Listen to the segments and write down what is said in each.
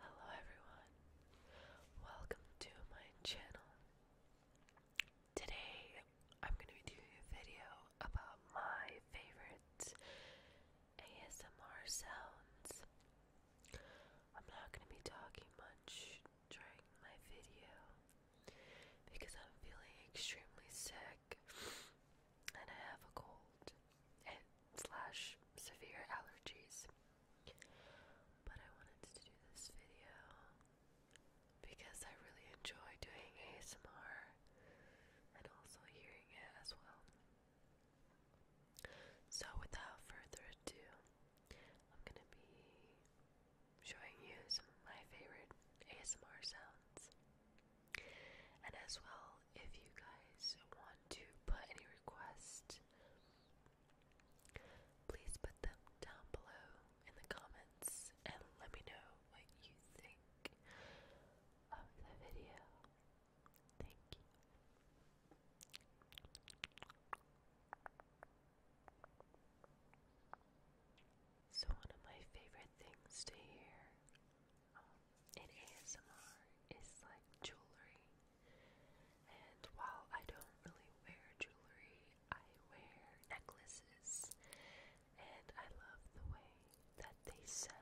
Hello everyone, welcome to my channel. Today I'm going to be doing a video about my favorite ASMR sounds. I'm not going to be talking much during my video because I'm feeling extremely sick and I have a cold slash severe allergies. But I wanted to do this video because I really enjoy doing ASMR and also hearing it as well. So without further ado, I'm gonna be showing you some of my favorite ASMR sounds. And as well, if you guys want to put any requests, please put them down below in the comments and let me know what you think of the video. Thank you. So, one of my favorite things to hear um, in ASMR is like jewelry. And while I don't really wear jewelry, I wear necklaces. And I love the way that they sound.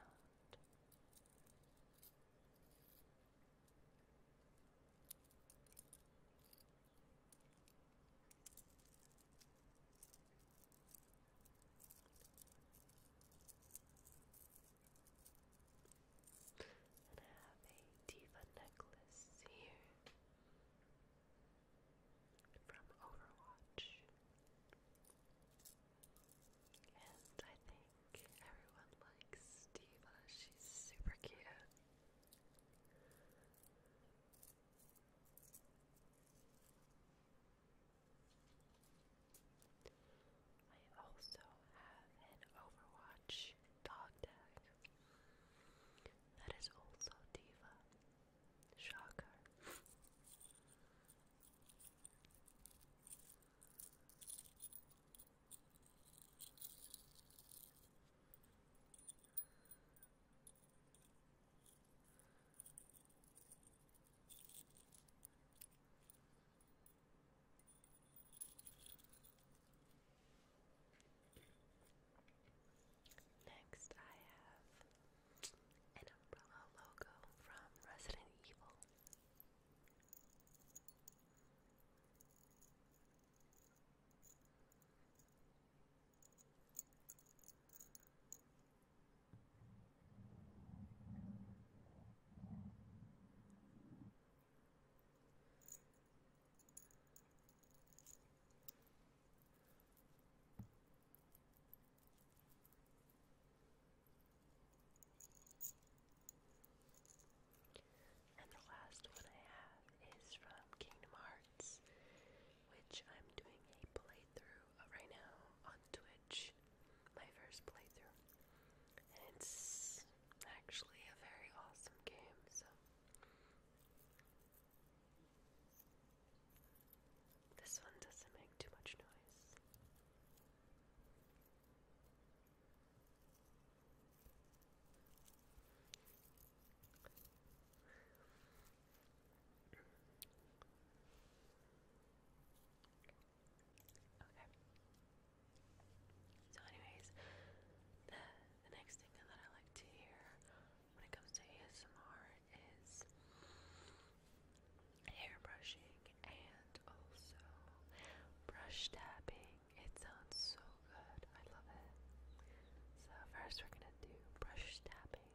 And I have a diva necklace here from Overwatch. And I think everyone likes Diva. She's super cute. I also have an Overwatch dog tag that is also Diva. Shocker. Next, I have an umbrella logo from Resident Evil. And the last one I have is from Kingdom Hearts, which I'm doing a playthrough right now on Twitch, my first playthrough. it's actually a very awesome game, so. This one doesn't make too much noise. Okay. So, anyways, the the next thing that I like to hear when it comes to ASMR is hair brushing and also brush tapping. It sounds so good. I love it. So first, we're gonna do brush tapping.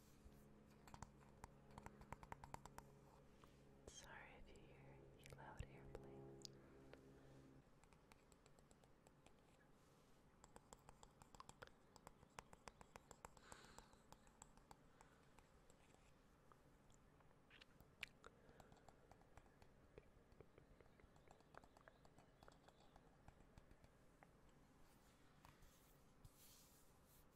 Sorry if you hear loud airplane.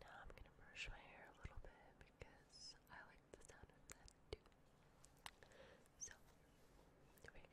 Now I'm going to brush my hair a little bit because I like the sound of that too. So, we're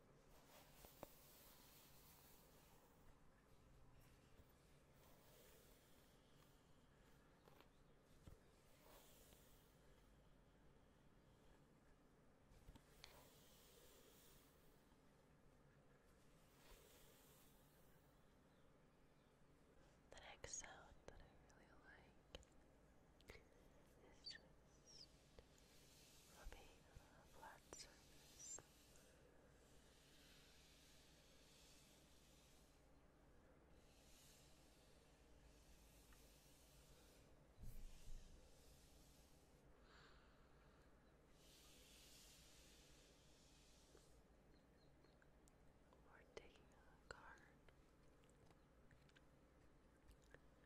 The next sound that I really like is rubbing on a flat surface. Or taking a card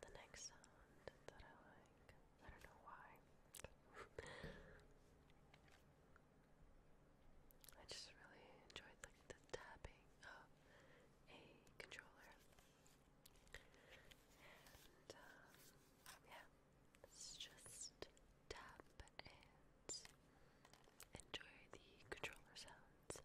The next sound that I like, I don't know why. I just really enjoyed like the tapping of a controller. And um, yeah, just tap and enjoy the controller sounds.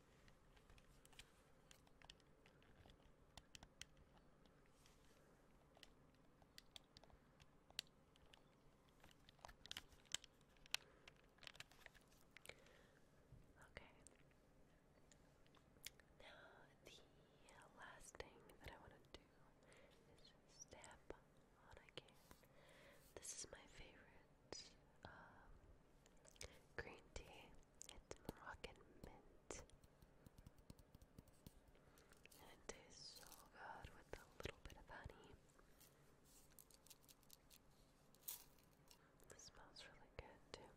Okay. Now, the last thing that I want to do is step on again. This is my favorite um, green tea. It's Moroccan mint. it tastes so good with a little bit of honey. smells really good too.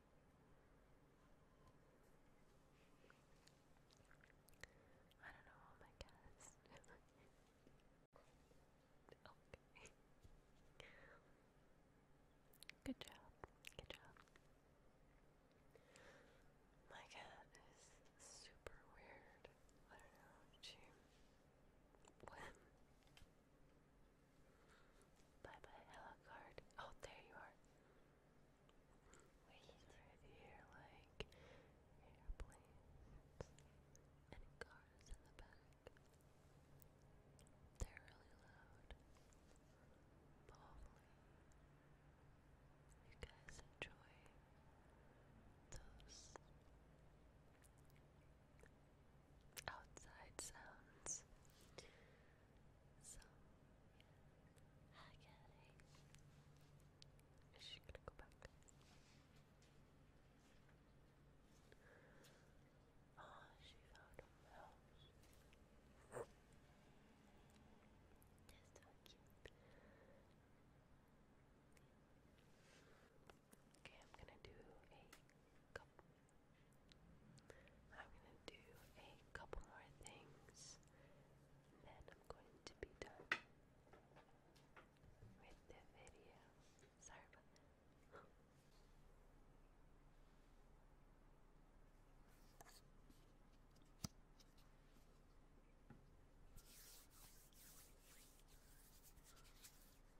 I don't know all my cats. okay. Good job. Good job. My cat is super weird. I don't know. She. What? Bye bye, Alucard. Oh, there you are. Wait, he's like airplanes and cars in the back. They're really loud. hopefully, you guys enjoy those outside sounds. So, yes. Hi, Kelly. gonna go back? Oh, she found a mouse. That's so cute. Okay, I'm gonna do a cup I'm going to do a couple more things, then I'm going to be done with the video. Sorry about